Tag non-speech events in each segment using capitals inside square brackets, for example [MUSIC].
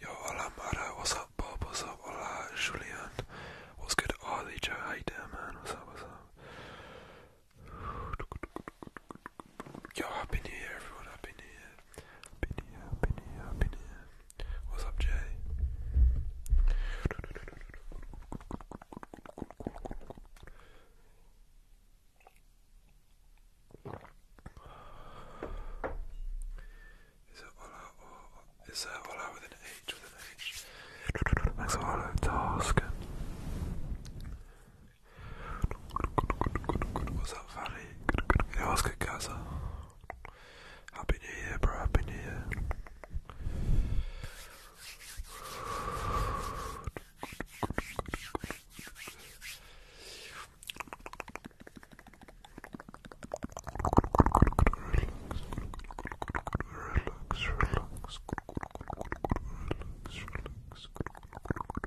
Yo, hola, Mara. What's up, Bob? What's up, Allah Julian? What's good, Ollie? Joe, how man? What's up, what's up? Yo, happy new year, everyone. Happy new year. Been here, been What's up, Jay? Is it Ola or is there Ola with an H with an H? Max Ola task. What's up, Valley? Good, good. Oscar Gaza. Happy New Year, bro. Happy New Year. Relax,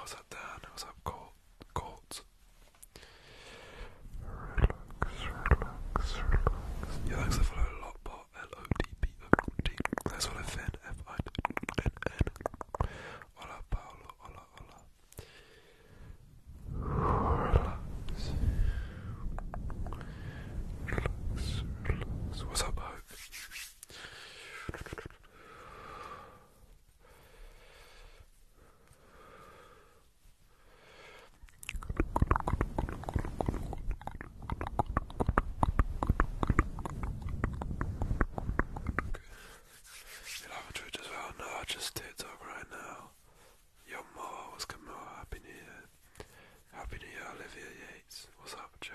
What's up, Dan? What's up, Colt? Colt? Relax, relax, relax. Yeah, thanks for following a lot, but L-O-D-B-O-D. Thanks for the Finn, F-I-N-N. Hola, Paolo. Hola, hola. Relax. Relax, relax. What's up, Hope? You Twitch as well? No, just TikTok right now. Yo, Mo, what's good, Mo? Happy New Year. Happy New Year, Olivia Yates. What's up, Joe?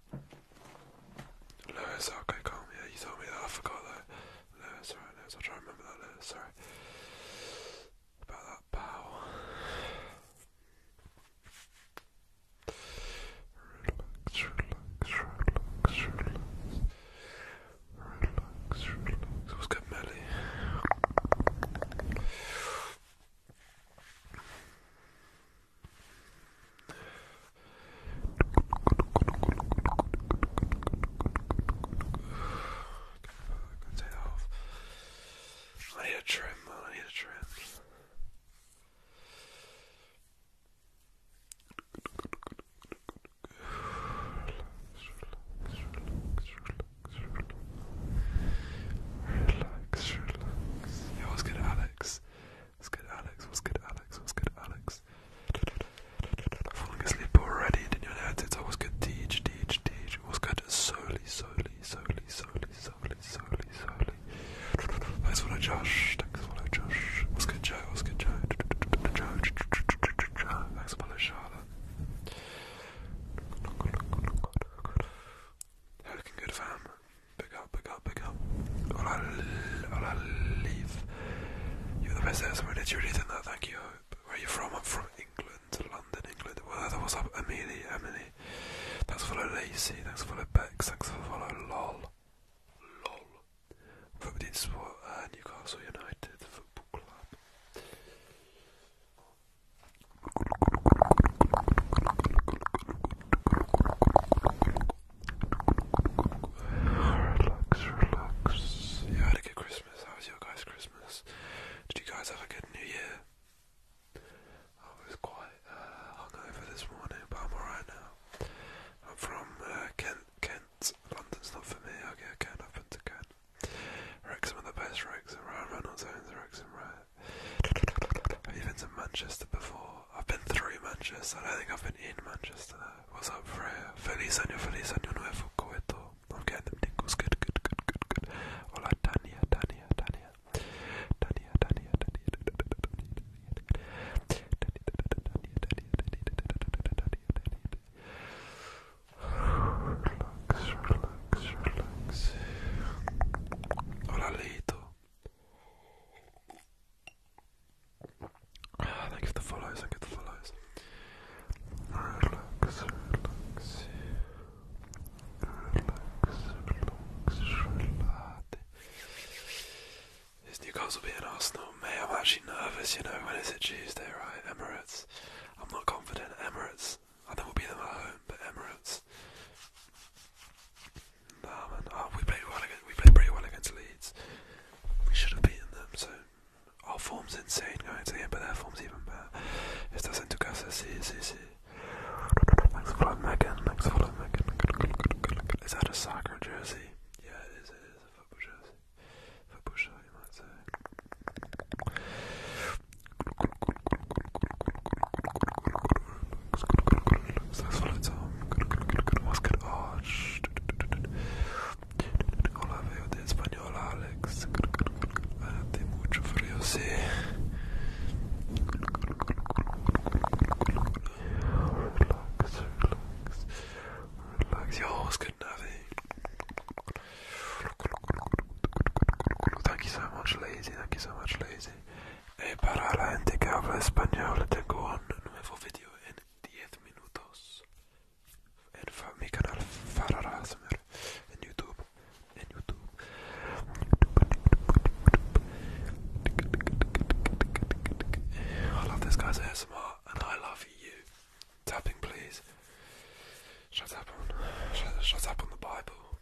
Lewis, okay, calm. Yeah, you told me that. I forgot that. Lewis, alright, Lewis. I'll try and remember that, Lewis. Sorry. About that bow. Relax, relax, relax, relax. Relax, relax. What's good, Melly? Take that off. I need a trim, I need a trim. Relax, relax, relax, relax, relax. Relax, relax. Yo, what's good, Alex? What's good, Alex? What's good, Alex? What's good, Alex? Falling asleep already, didn't you know it? I was good, teach, teach, teach. What's good, solely, solely, solely, solely, solely, solely, solely. Thanks for the Josh. Thanks for the Josh. What's good, Joe? What's good, Joe? Joe. Thanks for the Charlotte. How looking good, fam? Big up, big up, big up. Or i You're the best ever did you read in that, thank you. Where are you from? I'm from England, London, England. Well, that was up Emily, Emily. Thanks for the Lacey, thanks for the Bex, thanks for the LOL. LOL. Football Sport, uh, Newcastle United Football Club. Relax, relax. You had a good Christmas. How was your guys' Christmas? Did you guys have a good New Year? I was quite uh, hungover this morning, but I'm alright now. I'm from uh, Kent. Kent. London's not for me. I'll get a Kent up into Kent. Wrexham are the best Wrexham, right? Reynolds owns Wrexham, right? I've been to Manchester before. I've been through Manchester. I don't think I've been in Manchester. What's up, Freya? Feliz año, feliz año nuevo, coeto. I'm getting them tingles. Good, good, good, good, good. Hola, Tania, Tania, Tania. Tania, Tania, Tania, Tania, Tania, Tania, Tania, Tania, Tania, Hola Lito, Ah, thank you for the follows, thank you the follows. Relax, relax. Relax, relax, relax. Is Newcastle beating Arsenal? May I'm actually nervous, you know, when is it Tuesday, right? Emirates. I'm not confident. Emirates I think we'll beat them at home, but Emirates. Nah, man. Ah, we played well against, we played pretty well against Leeds. We should have beaten them. So our form's insane going to the end, but their form's even better. Estás en tu casa, sí, sí, sí. Thanks for following Megan. Thanks for Megan. Is that a soccer jersey? Yeah, it is. It is a football jersey. Football you might say. Hola, veo de español, Alex. Hace mucho frío, sí. Relax, relax. Relax. Yo, what's good, Navi? Thank you so much, Lazy. Thank you so much, Lazy para la gente que habla español tengo un nuevo video en 10 minutos en mi canal Fararasmer en YouTube en YouTube I love this guy's ASMR and I love you tapping please shut up on shut up on the Bible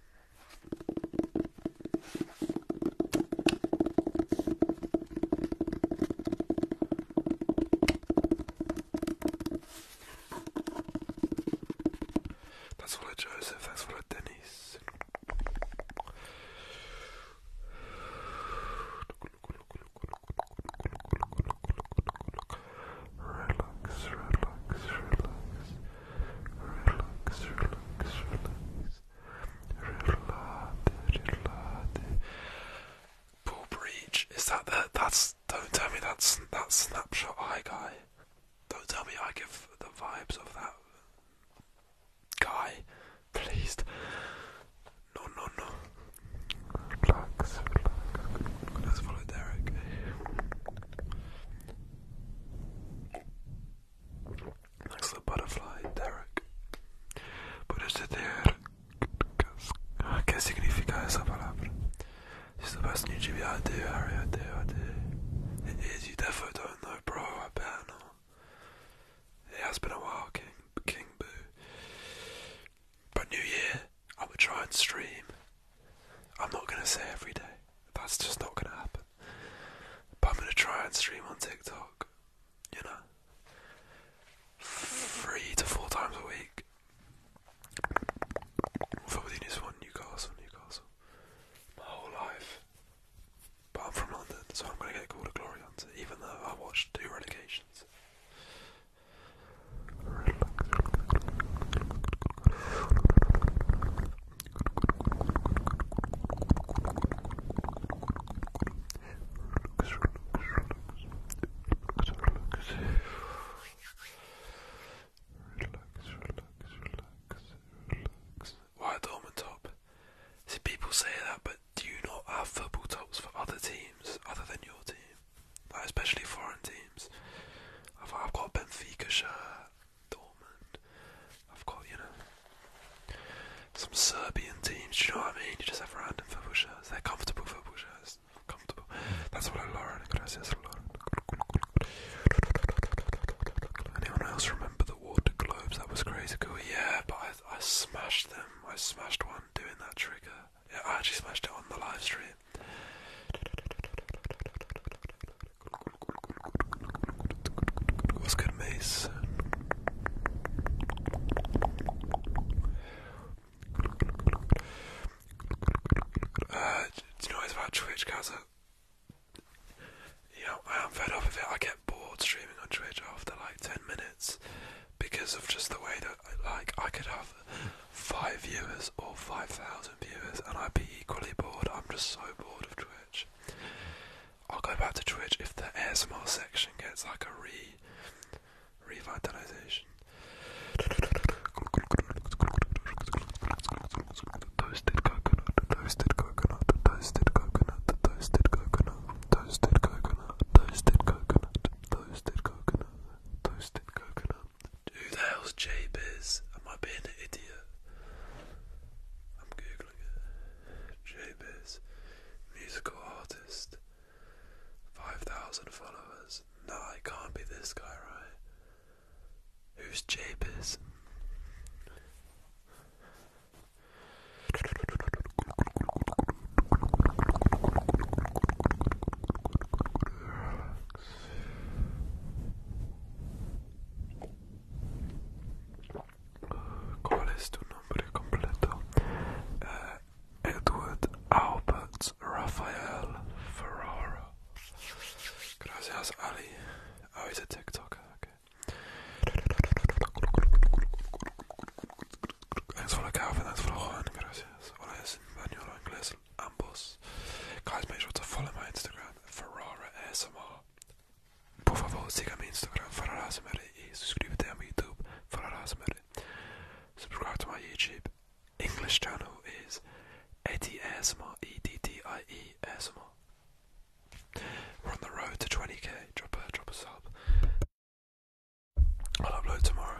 that's full of Joseph, that's full of Dennis. Relax, relax, relax relax, relax, relax. Relate, relate. Paul Breach, is that the that's don't tell me that's that snapshot eye guy. Don't tell me I give the vibes of that guy. Please. No no no. Relax, relax. Let's follow Derek. Next to the butterfly, Derek. Podes ter que significa essa palavra? She's the best new GB I do, Harry, I do, I do. It is, you definitely don't know, bro, I bet not. It has been a while, King, King Boo. But New Year, I'm gonna try and stream. I'm not gonna say every day. That's just not gonna happen. But I'm gonna try and stream on TikTok, you know, three to four times a week. Probably needs one Newcastle, Newcastle. My whole life. But I'm from London, so I'm gonna get called a glory hunter, even though I watched two relegations. Why a relax, top. See, people say that, but do you not have football tops for other teams other than your team? especially foreign teams. I've, got Benfica shirt. Dortmund. I've got, you know, some Serbian teams, do you know what I mean? You just have random football They're comfortable football Comfortable. That's what I Lauren. Gracias, Lauren. Anyone else remember the water globes? That was crazy cool. Yeah, but I, I smashed them. I smashed one doing that trigger. Yeah, I actually smashed it on the live stream. What's good, Uh, do you know what about Twitch, Kaza? Yeah, I am fed up with it. I get bored streaming on Twitch after like 10 minutes because of just the way that, like, I could have five viewers or 5,000 and i be equally bored. I'm just so bored of Twitch. I'll go back to Twitch if the ASMR section gets like a re revitalization. Toasted coconut, toasted coconut, toasted coconut, toasted coconut, toasted coconut, toasted coconut, toasted coconut, toasted coconut. Who the hell's Jabe is? Am I being an idiot? I'm googling it. JBiz, musical artist, 5,000 followers. No, I can't be this guy, right? Who's Jabez? ¿Cuál es tu nombre completo? Uh, Edward Albert Raphael Ferrara. Gracias, Ali. Oh, he's a TikToker. Okay. Thanks for the Calvin, thanks for the Juan. Gracias. Hola, es en español o inglés. Ambos. Guys, make sure to follow my Instagram. Instagram Ferrara ASMR. Por favor, siga-me Instagram Ferrara ASMR e subscreva-te YouTube Ferrara ASMR. Subscribe to my YouTube. English channel is Eddie We're on the road to 20k. Drop a drop a sub. I'll upload tomorrow.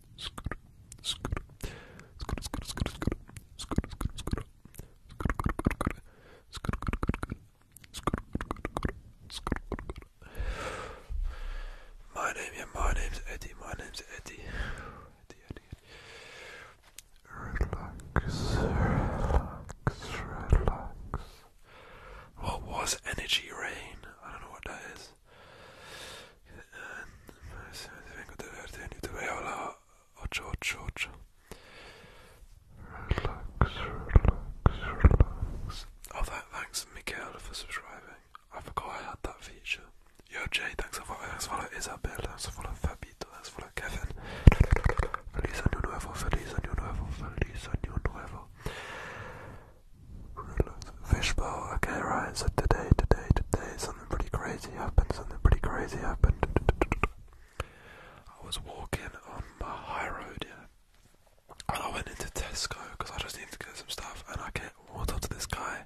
My name, yeah, my name's Eddie, my name's Eddie. Eddie, Eddie, Eddie. Relax, relax, relax. What was energy rain? I don't know what that is. Oh, thanks, Michael, for subscribing. I forgot I had that feature. Yo, Jay, thanks for following. Thanks for following Isabel. Thanks for following Fabito. Thanks for following Kevin. Feliz año nuevo, feliz año nuevo, feliz año nuevo. Relax. Fishbowl. Okay, right. So today, today, today something pretty crazy happened, something pretty crazy happened. I was walking on my high road, yeah. And I went into Tesco because I just needed to get some stuff, and I get walked up to this guy,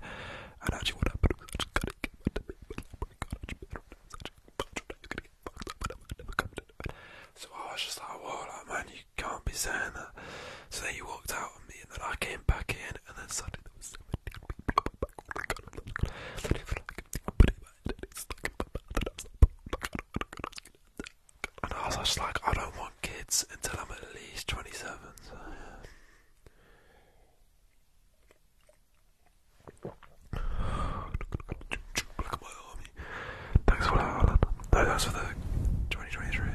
and actually what happened was I just got it. So I was just like, "Whoa, like, man, you can't be saying that." So then you walked out on me, and then I came back in, and then suddenly there was seventeen people and I was just like, I don't want kids until I'm at least 27. Thanks for the 2023.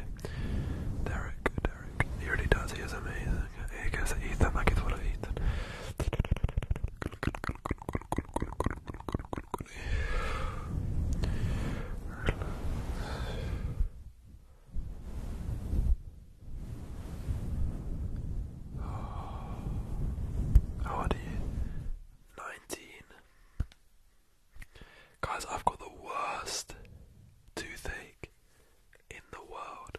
Derek, Derek. He really does, he is amazing. How old are you? Nineteen. Guys, I've got the worst toothache in the world.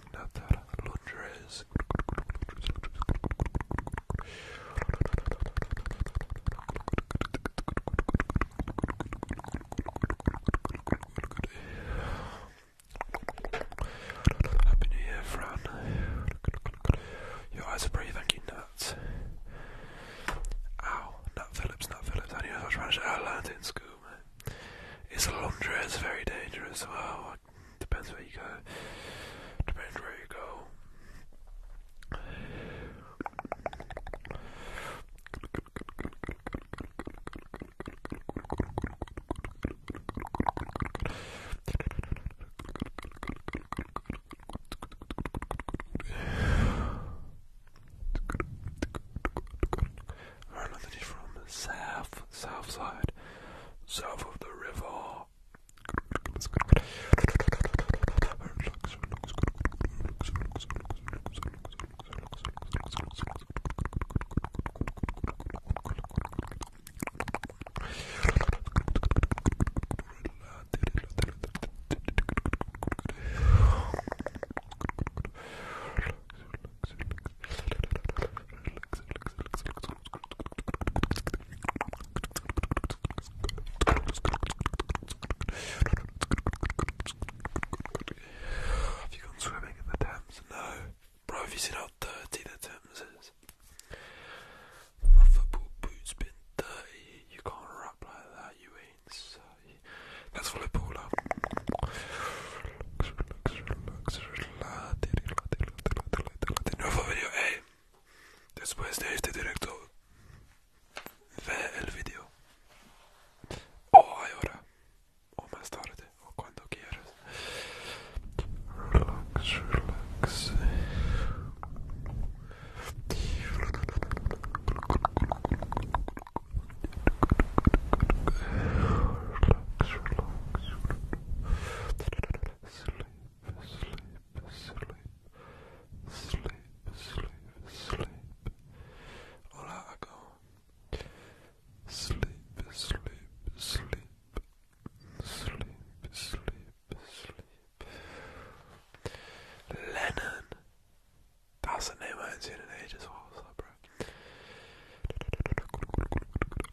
Ignatar Londres. Happy New Year, Fran. Your eyes are pretty, thank you, Nat. Ow, Nat Phillips, Nat Phillips. I knew I was trying to I oh, learned in school, Is Londres very dangerous? Depends where you go. Depends where you go. Ireland is from south south, side, south of the river. Have you gone swimming in the Thames? No. Bro, have you seen how dirty the Thames is? My football boots been dirty. You can't rap like that, you ain't sorry. That's volleyball, love. Relax, relax, relax, relax. relájate, relájate, relájate, relájate. Nuevo video, eh. Después de este directo, ve el video. O ahora, o más tarde, o cuando quieras. relax. Relax, relax. sleep, sleep, sleep, sleep. Hola, go. Sleep, sleep, sleep, sleep, sleep, sleep. Lennon. That's a name I haven't seen in ages. What was that, bro?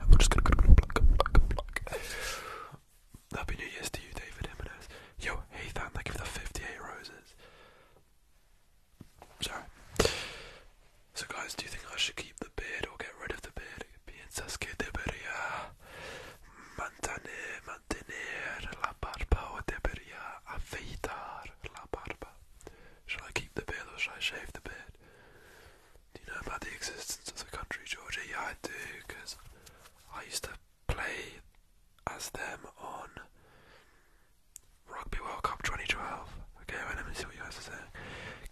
And we're Happy New Year's to you, David Jimenez. Yo, hey, thank you the 58 roses. Sorry. So, guys, do you think I should keep the beard or get rid of the beard? Piensas que debería mantener, mantener la barba o debería afeitar la barba? Should I keep the beard or should I shave the beard? Do you know about the existence of the country, Georgia? Yeah, I do, because I used to play as them on Rugby World Cup 2012. Okay, well, let me see what you guys are saying.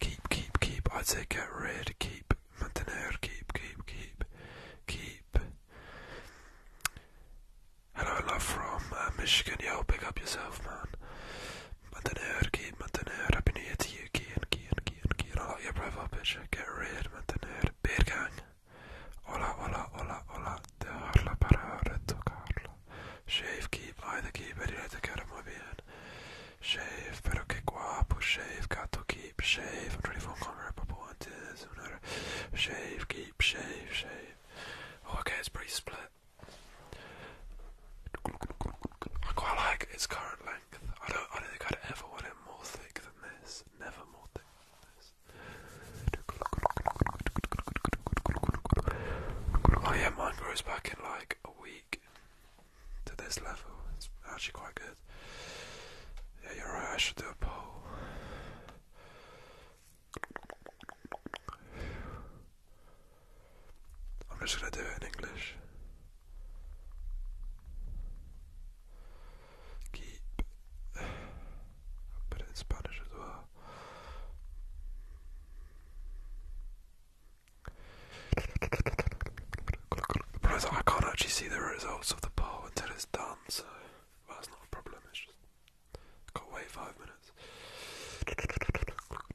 Keep, keep, keep. I'd say get rid, keep, mantener, keep, keep, keep, keep. Hello, love from uh, Michigan. Yo, pick up yourself, man. But then örki, but then ör up in here to you, key and key and key and key and all your profile picture, get rid, but then ör, beer gang. Hola, hola, hola, hola, dejarla para ahora tocarla. Shave, keep, either keep, ready to get him with bien. Shave, pero que guapo, shave, gato, keep, shave. I'm trying to phone call her up, but Shave, keep, shave, shave. Oh, okay, it's pretty split. I quite like its current I don't I don't think I'd ever want it more thick than this. Never more thick than this. Oh yeah, mine grows back in like a week to this level. It's actually quite good. Yeah, you're right, I should I'm just going to do it in English. Keep. i in Spanish as well. The problem is I can't actually see the results of the poll until it's done, so that's not a problem. It's just got to wait five minutes.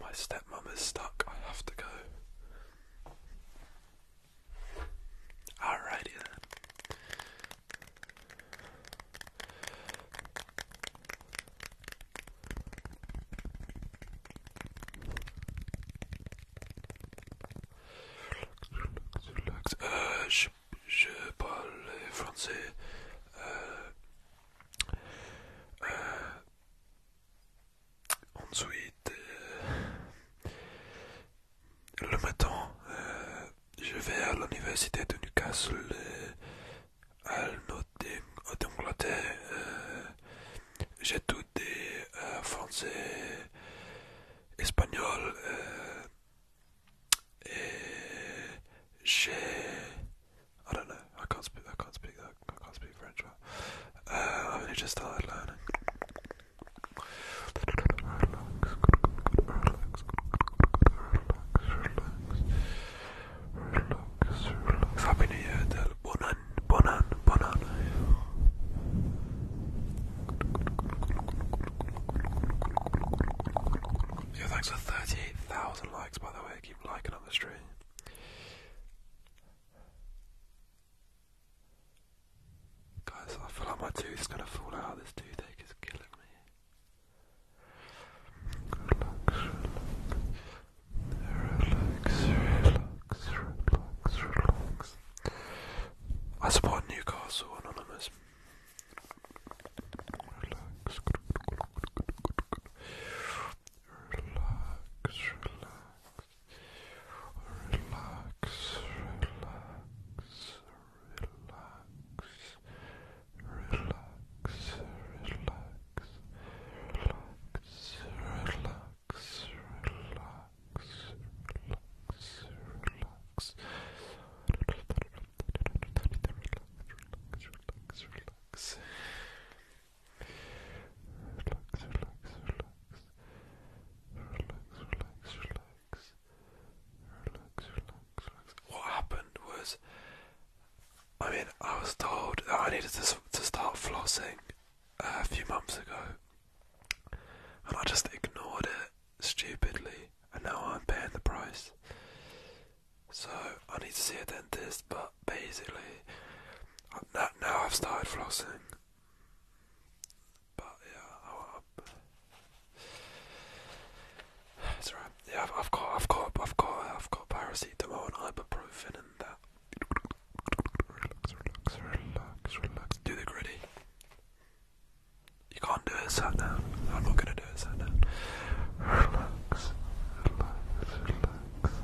My stepmother's stuck. I have to go. Alrighty then. je, parle français. ensuite, le matin, je vais à l'université de Newcastle, à l'Angleterre. J'ai tout euh, français Espanol, Uh, eh, eh, je, I don't know. I can't speak. I can't speak that. I can't speak French well. Uh, I've only just started learning. Relax, relax, relax, relax. Happy New Year, Del Bonan, Bonan, Bonan. Yo, thanks for 38,000 likes, by the way. Keep liking on the stream. Guys, I feel like my tooth is gonna fall out. This toothache is killing me. Relax, relax. Relax, relax, I support Newcastle Anonymous. Relax. Relax, relax. Relax, relax, relax. Relax, relax, relax, relax, relax relax. Relax, relax, relax. Relax, relax, relax. Relax, relax, relax. Relax, relax, relax. What happened was, I mean, I was told that I needed to to start flossing uh, a few months ago, and I just ignored it stupidly, and now I'm paying the price. So I need to see a dentist, but basically, uh, now I've started flossing. But yeah, I, it's Yeah, I've, got, I've got, I've got, I've got paracetamol and ibuprofen and that. Relax, relax, relax, relax. Do the gritty. You can't do it sat down. I'm not gonna do it sat down. Relax, relax, relax, relax.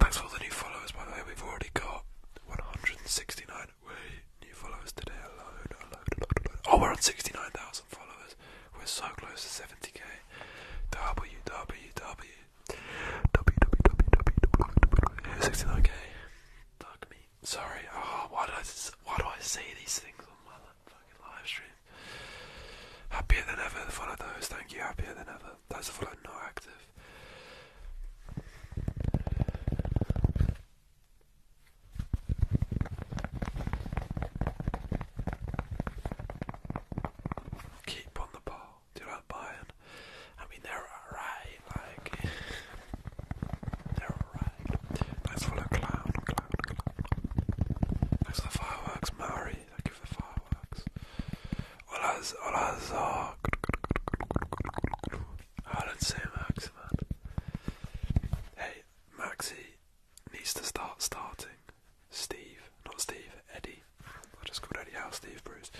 Thanks for all the new followers, by the way. We've already got 169 way. New followers today, a load, a Oh, we're on 69,000 followers. We're so close to 70k. WWW. k Fuck Sorry. Oh, do I see these things on my live stream? Happier than ever. those. Thank are not active. Keep on the ball. Do not buy it. I mean, they're alright. Like [LAUGHS] they're alright. Thanks for the clown, clown, clown. Thanks for the fireworks, Mari. Thank you for the fireworks. Ola's, Ola's, oh, I don't say Max, man. Hey, Maxi needs to start starting. Steve, not Steve, Eddie. I just called Eddie out, Steve Bruce.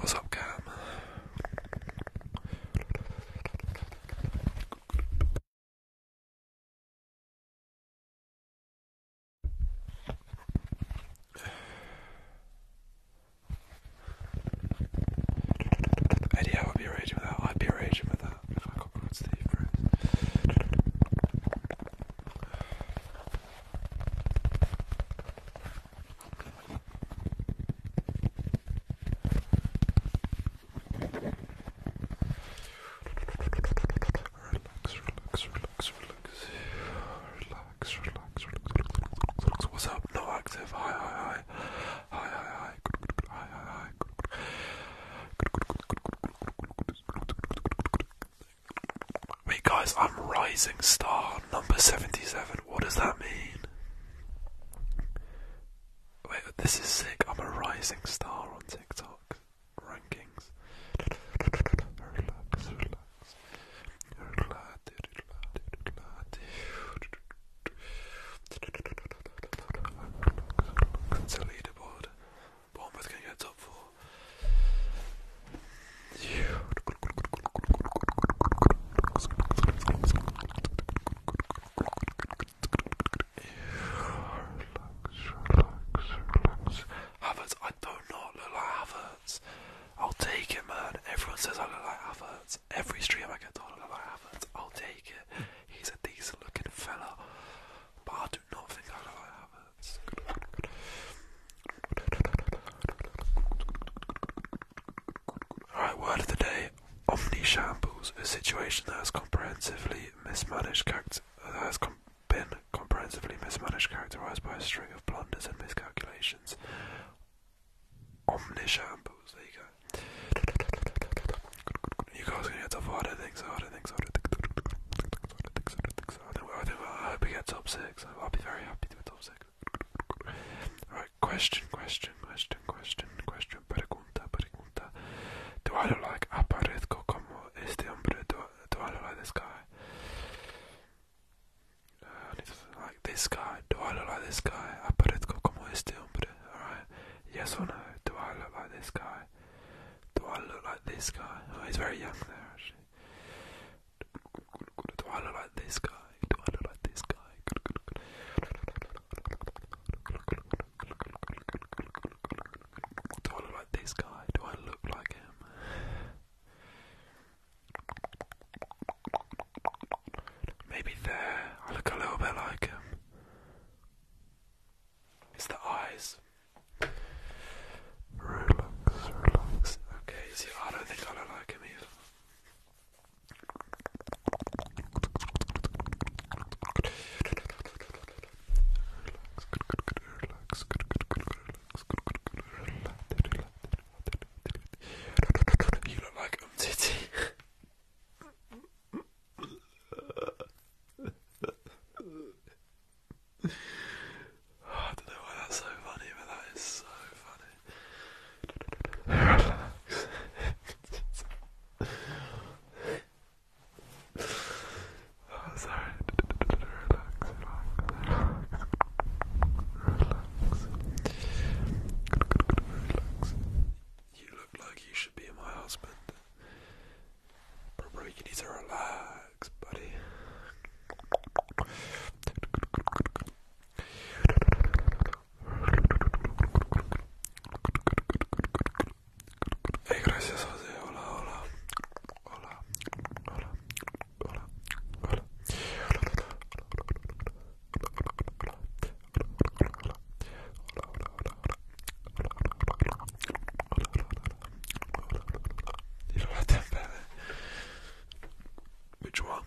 What's up, Cam? Eddie, I would be raging without. that. I'd be raging with if I complimented Steve Bruce. Relax, relax, relax, relax. Relax, relax, relax, relax. What's up? No active. Hi, hi, hi. Hi, hi, hi. Hi, hi, hi. Wait, guys, I'm rising star number 77. What does that mean? Wait, this is sick. I'm a rising star on TikTok rankings. relax, relax. Relax, It's a leaderboard. Bournemouth can get top four. Relax, relax, relax. Havertz, I do not look like Havertz. I'll take it, man. Everyone says I look like Havertz. Every stream I get told I look like Havertz. I'll take it. He's a decent looking fella. But I do not think I look like Havertz. Alright, word of the day. Omni shambles, a situation that has comprehensively mismanaged character. has com been comprehensively mismanaged, characterized by a string of blunders and miscalculations. Omnishambles, there you go. You guys are gonna get top four, I don't think so, I don't think so, I don't think so, I don't think so, I don't think so, I think, I, think, I hope we get top six, I'll be very happy to get top six. Alright, question, question, question, question, question, pregunta, pregunta. Do I look like Aparezco como este hombre? Do, do I look like this guy? like this guy. Do I look like this guy? Aparezco como este hombre. Alright. Yes or no? Do I look like this guy? Do I look like this guy? Oh, he's very young there, actually. Do I look like this guy? Do I look like this guy? Do I look like this guy? Do I look like him? Maybe there, I look a little bit like him. It's the eyes. Relax, relax. Okay, I don't think I look like him either. You look like um I don't know why that's so funny, but that is so funny. Oh, sorry. Relax, relax, relax. Relax. You look like you should be my husband. Bro, you need to relax, buddy. Hey, gracias, Jose. Hola, hola. Hola. Hola. Hola. Hola. You don't like that better. Which one?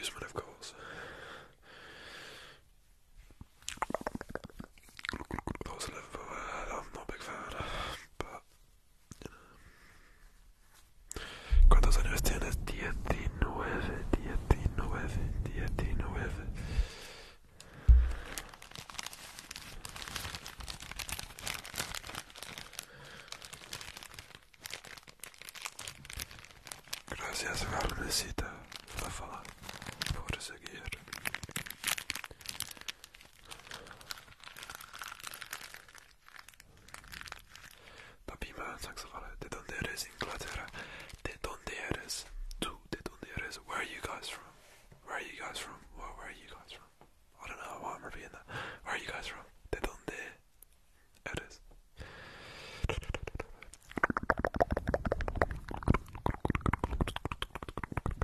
Usman, of course. Those I'm big fan, but años tienes? 19, 19, 19. Gracias, Carmencita, Rafa, por seguir. Papima, thanks for it. De donde eres, Inglaterra? De donde eres? Tu, eres? Where are you guys from? Where are you guys from? Where, are you guys from? I don't know why I'm repeating that. Where are you guys from? De eres?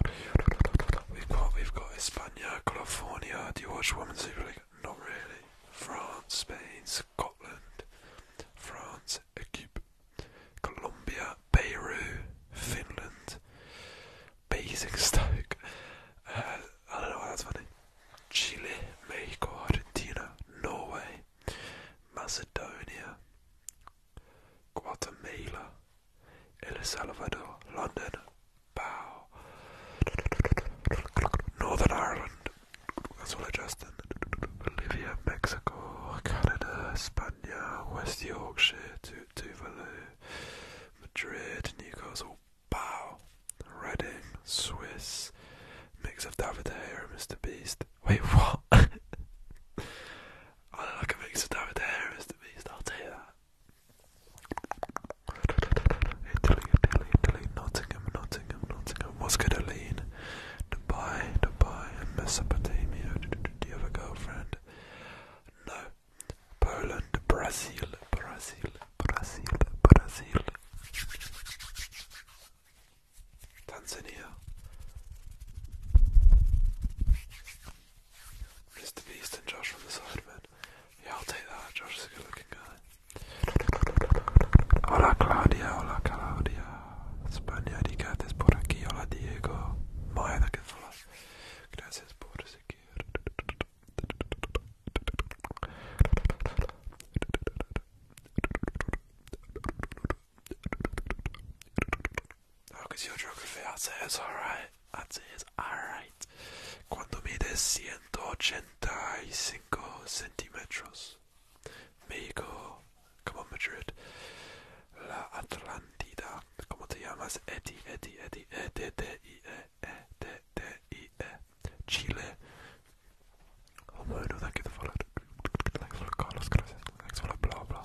We've got we've got Hispania, California. Do you watch Women's Super League? Not really. France, Spain, Scotland, France, Equipe, Colombia, Peru, Finland, Basic Uh, I don't know why that's funny. Chile, Mexico, Argentina, Norway, Macedonia, Guatemala. El Salvador, London, Bow, Northern Ireland, that's all Bolivia, Mexico, Canada, Spain, West Yorkshire, tu- Tuvalu, Madrid, Newcastle, Bow, Reading, Swiss, mix of David De Gea and Mr. Beast. Wait, what? [LAUGHS] I look like a mix of David Harris to me, so I'll tell that. Italy, Italy, Italy, Nottingham, Nottingham, Nottingham. What's good, Dubai, Dubai, and Mesopotamia. Do you have a girlfriend? No. Poland, Brazil, Brazil, Brazil, Brazil. Tanzania. Mr. Beast and Josh from the side, but yeah, I'll take that. Josh is a good looking guy. Hola Claudia, hola Claudia. España, digates por aquí, hola Diego. Maya, that gets hola. Gracias por seguir. Okay, que hace alright. Cuando mide 185 centímetros, México, como Madrid, la Atlántida, ¿cómo te llamas? Eti, eti, eti, e, eti, e e e eti, e, Chile. Oh, no, thank you the follow. Thanks for for the blah,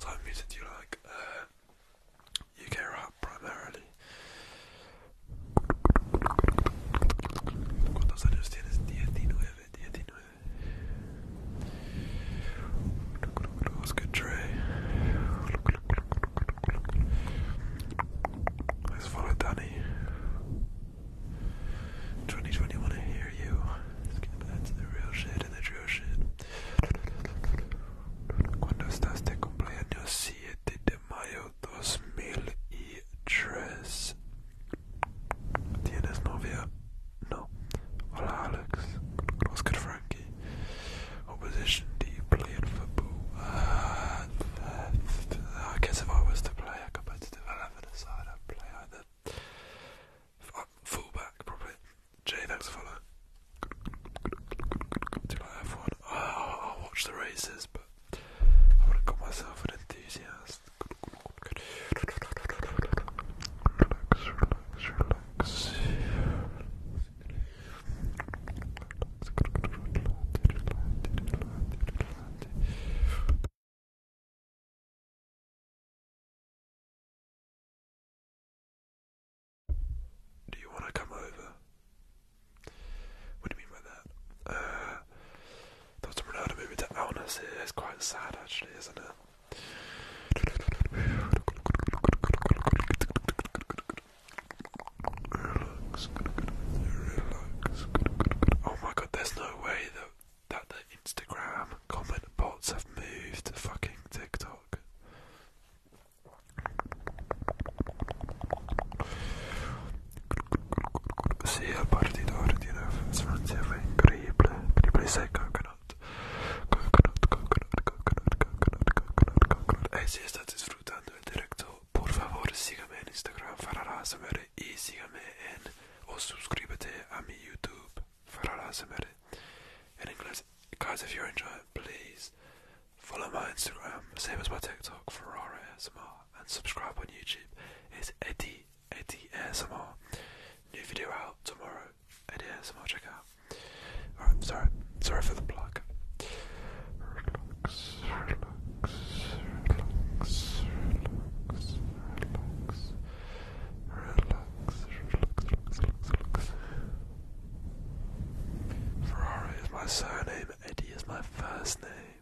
Type music do you like? UK uh, rap primarily. ¿Cuántos años tienes? 19, 19. Let's get Trey. Let's follow Danny. 2021. I hear you. Let's get back to the real shit and the drill shit. Cuando estás te cumpleaños 7 dos mil y tres. ¿Tienes novia? No. Hola, Alex. Oscar Frankie. Opposition D playing for Boo. Uh, I guess if I was to play a competitive 11 aside, I'd play either. Uh, fullback, probably. Jay, thanks for follow. Do you like one oh, I'll watch the races, but I want to call myself an enthusiast. Relax, relax, relax. Do you want to come over? What do you mean by that? Uh, there was a Ronaldo movie quite sad, actually, isn't it? Oh my god, there's no way that that the Instagram comment bots have moved to fucking TikTok. Sia sì, partito ordine sostanziale incredibile, incredibile sai coconut, coconut, coconut, coconut, coconut, coconut, coconut. E eh se state sfruttando il diretto, por favore sigame en Instagram, farà samere, e sigame en, o suscrivete a mi YouTube, farà samere, in inglese. Guys, if you're enjoying, please Follow my Instagram, same as my TikTok, Ferrari SMR, and subscribe on YouTube. It's Eddie, Eddie SMR. New video out tomorrow. Eddie SMR, check out. Alright, sorry, sorry for the plug. Relax, relax, relax, relax, relax, relax, relax, relax, relax. Ferrara is my surname, Eddie is my first name.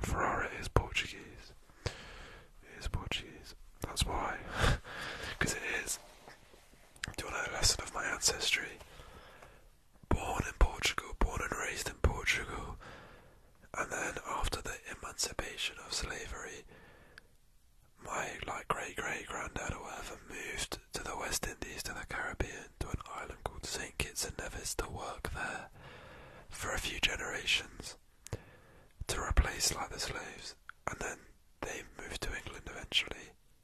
Ferrari is Portuguese. It is Portuguese. That's why. Because [LAUGHS] it is. Do you want a lesson of my ancestry? born in Portugal, born and raised in Portugal, and then after the emancipation of slavery, my like great great granddad or whatever moved to the West Indies to the Caribbean to an island called St Kitts and Nevis to work there for a few generations to replace like the slaves, and then they moved to England eventually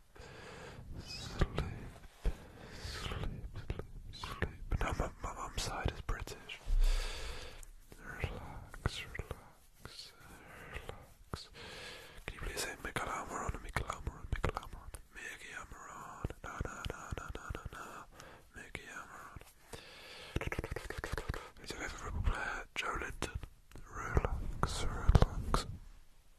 sleep, sleep, sleep, sleep. Now my, my mom's side is British. Relax, relax, relax. Can you please say Michelamoron, Michelamoron, Michelamoron, Michelamoron, no, no, no, no, no, no, no, Michelamoron. Who's your favourite football player? Joe Linton. Relax, relax.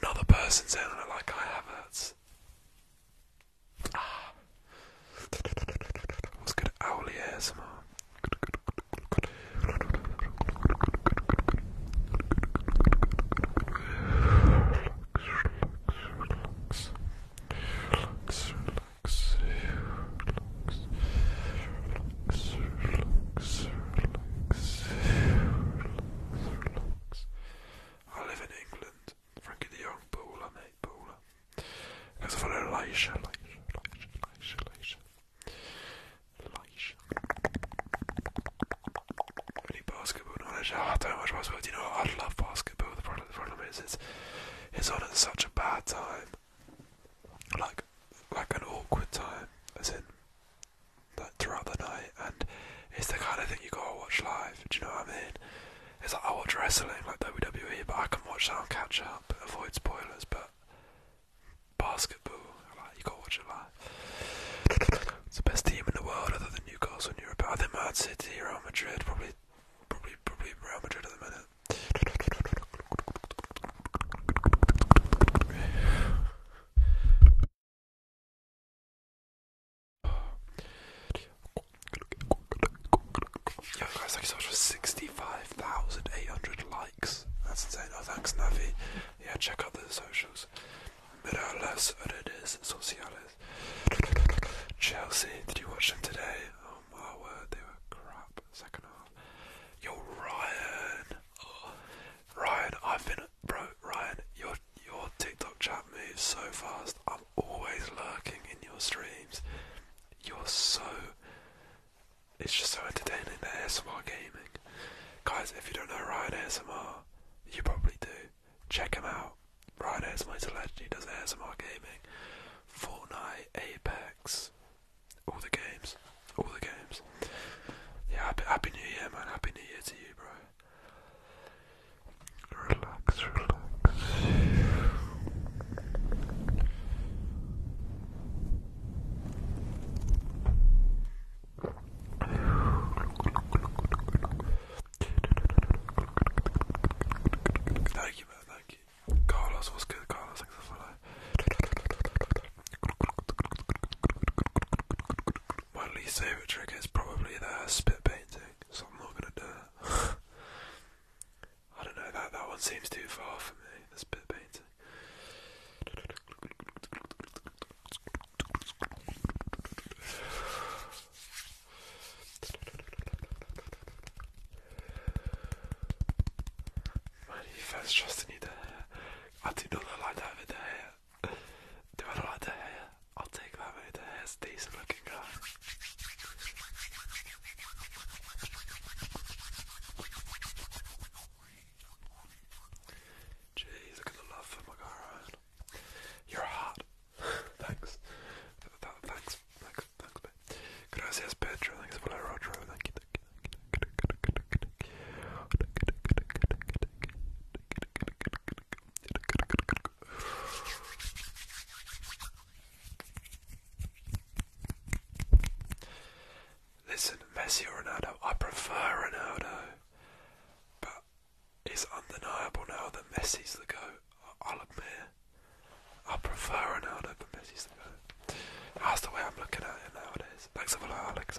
Another person saying that like I have hurts. Ah. It's good owly ASMR. Relax, relax, relax, relax, relax, relax, relax, relax. I live in England, sant? Frankie de Jong, Pola, nej, Pola. Eller så var det Laisha, Laisha, Laisha, Laisha, Laisha. Basketball knowledge. Oh, don't much basketball. Do you know I love basketball. The problem, is it's, it's on such a bad time. Like, like an awkward time. As in, like throughout the night and it's the kind of thing you gotta watch live. Do you know what I mean? It's like I watch wrestling, like WWE, but I can watch that and catch up, avoid spoilers. But basketball, like you gotta watch it live. it's the best team in the world, other than Newcastle and Europe. I think Man City, Real Madrid, probably, probably, probably Real Madrid at the minute. Yo guys, thank you for 65,800 likes. That's insane. Oh, thanks, Navi. Yeah, check out the socials. Mirales redes sociales. Chelsea, did you watch them today? Oh my word, they were crap. Second half. Yo, Ryan. Oh, Ryan, I've been bro, Ryan, your your TikTok chat moves so fast. I'm always lurking in your streams. You're so. It's just so entertaining. The ASMR gaming, guys. If you don't know Ryan ASMR, you probably do. Check him out. Ryan ASMR is legend. He does ASMR gaming, Fortnite, Apex, all the games, all the games. Yeah, happy New Year, man. Happy New Year to you, bro. Relax, relax. Thank you, man. Thank you. Carlos, what's good? Carlos, thanks for that. My least favorite trick is probably the spit so I'm not gonna do it. [LAUGHS] I don't know, that, that one seems too far for me, this bit painting. Man, you first trusted me there. I do not like that with the hair. Do I like the hair? I'll take that mate, the hair's decent looking guy. Jeez, look at the love for my guy You're hot. thanks. Th thanks. Thanks. Thanks, mate. Could Thanks for that, Rodro. Thank you. Thank you. Listen, Messi or Ronaldo, I prefer Ronaldo, but it's undeniable now that Messi's the GOAT, I'll admit. I prefer Ronaldo, but Messi's the GOAT. That's the way I'm looking at it nowadays. Thanks a lot, Alex.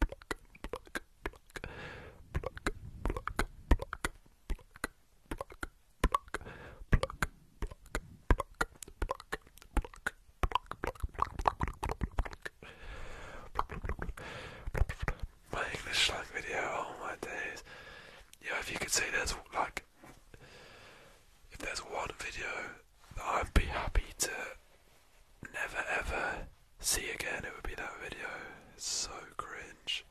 pluck, pluck, pluck, pluck, pluck, pluck, my English like video, oh my days. Yeah, if you could see, there's like if there's one video that I'd be happy to never ever see again, it would be that video. It's so cringe.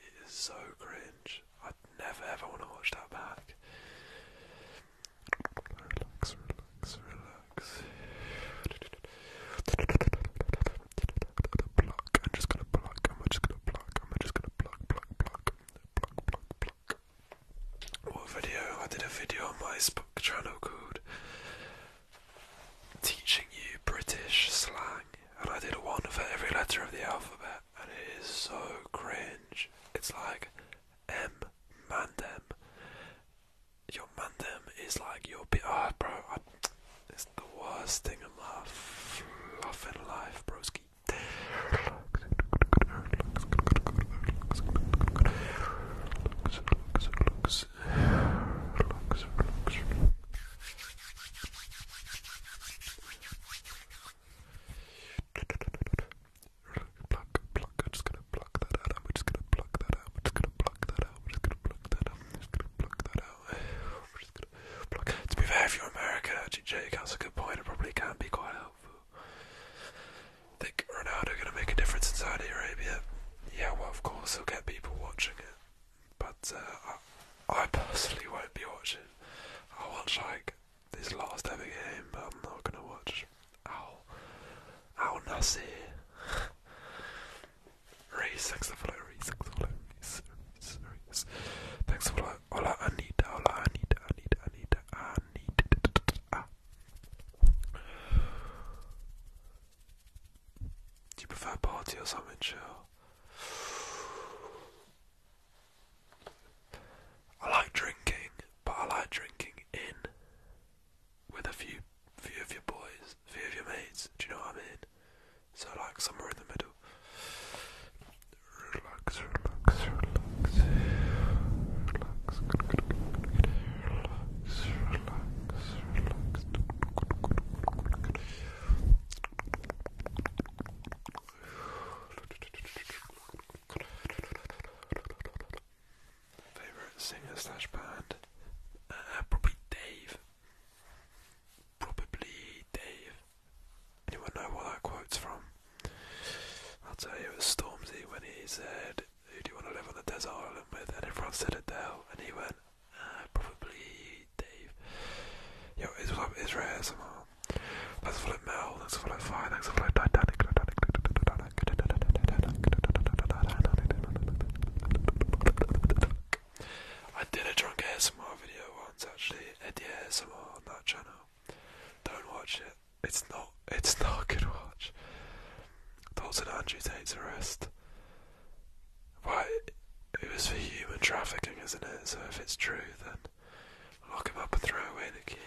It is so cringe. I'd never ever want to watch that back. Relax, relax, relax. Pluck. I'm just gonna pluck. I'm just gonna pluck. I'm just gonna pluck, pluck, pluck, pluck, pluck, pluck. What video? I did a video on my Spook channel called Teaching You British Slang, and I did one for every letter of the alphabet, and it is so cringe. It's like M Mandem. Your Mandem is like your ah, bro, I, it's the worst thing in my fluffing life, broski relax, relax, relax, relax. Pluck, to be fair, if you're American, actually, that's a good point. It probably can not be quite helpful. Think Ronaldo gonna make a difference in Saudi Arabia? Yeah, well, of course he'll get people watching it, but uh, I, personally won't be watching. I'll watch like this last ever game, but I'm not gonna watch Al Al Nassi. [LAUGHS] Reese, thanks for following. Reese, thanks for following. Reese, Reese, Reese. Thanks for following. Hola, Anita. Hola, Anita. Anita. Anita. Anita. Anita. Do you prefer party or something chill? I like drinking, but I like drinking in with a few few of your boys, few of your mates, do you know what I mean? So like somewhere in the middle. Relax, relax, relax. Relax. Good, good, good, good, relax, relax, relax. Favorite singer slash band? Uh, uh, probably Dave. Probably Dave. Anyone know what that quote's from? I'll tell you, it was Stormzy when he said, who do you want to live on the desert island with? And everyone said Adele, and he went, uh, probably Dave. Yo, it's like Israel somehow. Um, thanks for like Mel, thanks for like Fire, thanks for like Titanic, Titanic, Titanic, Titanic, I did a drunk ASMR video once actually, Eddie ASMR on that channel. Don't watch it. It's not. It's not a good watch. Thoughts on Andrew Tate's arrest. Why? It was for human trafficking, isn't it? So if it's true, then lock him up and throw away the key.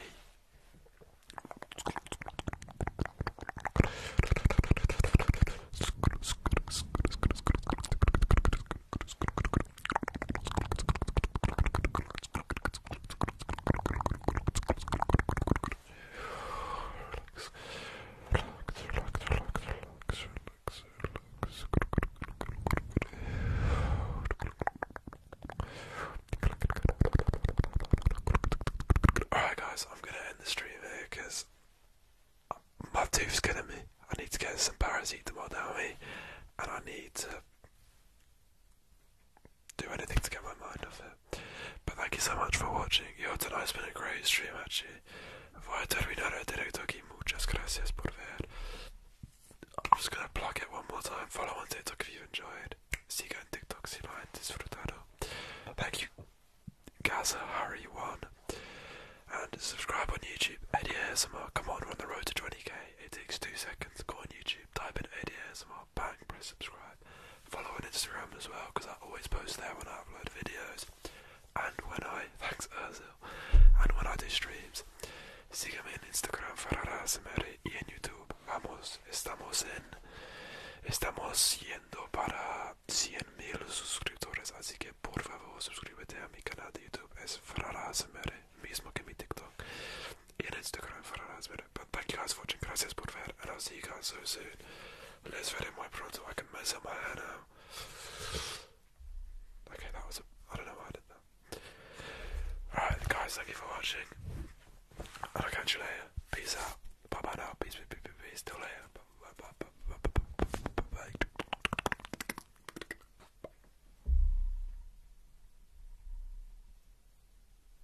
Alright guys, I'm gonna end the stream here because my tooth's killing me. I need to get some paracetamol down me and I need to do anything to get my mind off it. But thank you so much for watching. Yo, tonight's been a great stream actually. Voy a terminar el directo aquí. Muchas gracias por ver. I'm just gonna plug it one more time. Follow on TikTok if you have enjoyed. See Siga en TikTok si lo han disfrutado. Thank you, Gaza Harry One, and subscribe on YouTube. Eddie ASMR. Come on, we on the road to 20k. It takes two seconds. Go on YouTube, type in Eddie ASMR, bang, press subscribe subscribe. Follow on Instagram as well because I always post there when I upload videos and when I [LAUGHS] thanks Urzil and when I do streams. Sígueme en Instagram Ferrara SMR y en YouTube. Vamos, estamos en estamos yendo para 100.000 suscriptores, así que por favor suscríbete a mi canal de YouTube. Es Ferrara SMR, mismo que mi TikTok. Y en Instagram Ferrara SMR but thank you guys for watching. Gracias por ver, and I'll see you guys so soon. Let's get ver my pronto. I can mess up my head now. Okay, that was a. I don't know why I did that. Alright, guys, thank you for watching. And I'll catch you later. Peace out. Bye bye now. Peace, peace, peace, peace. Till later. bye. bye.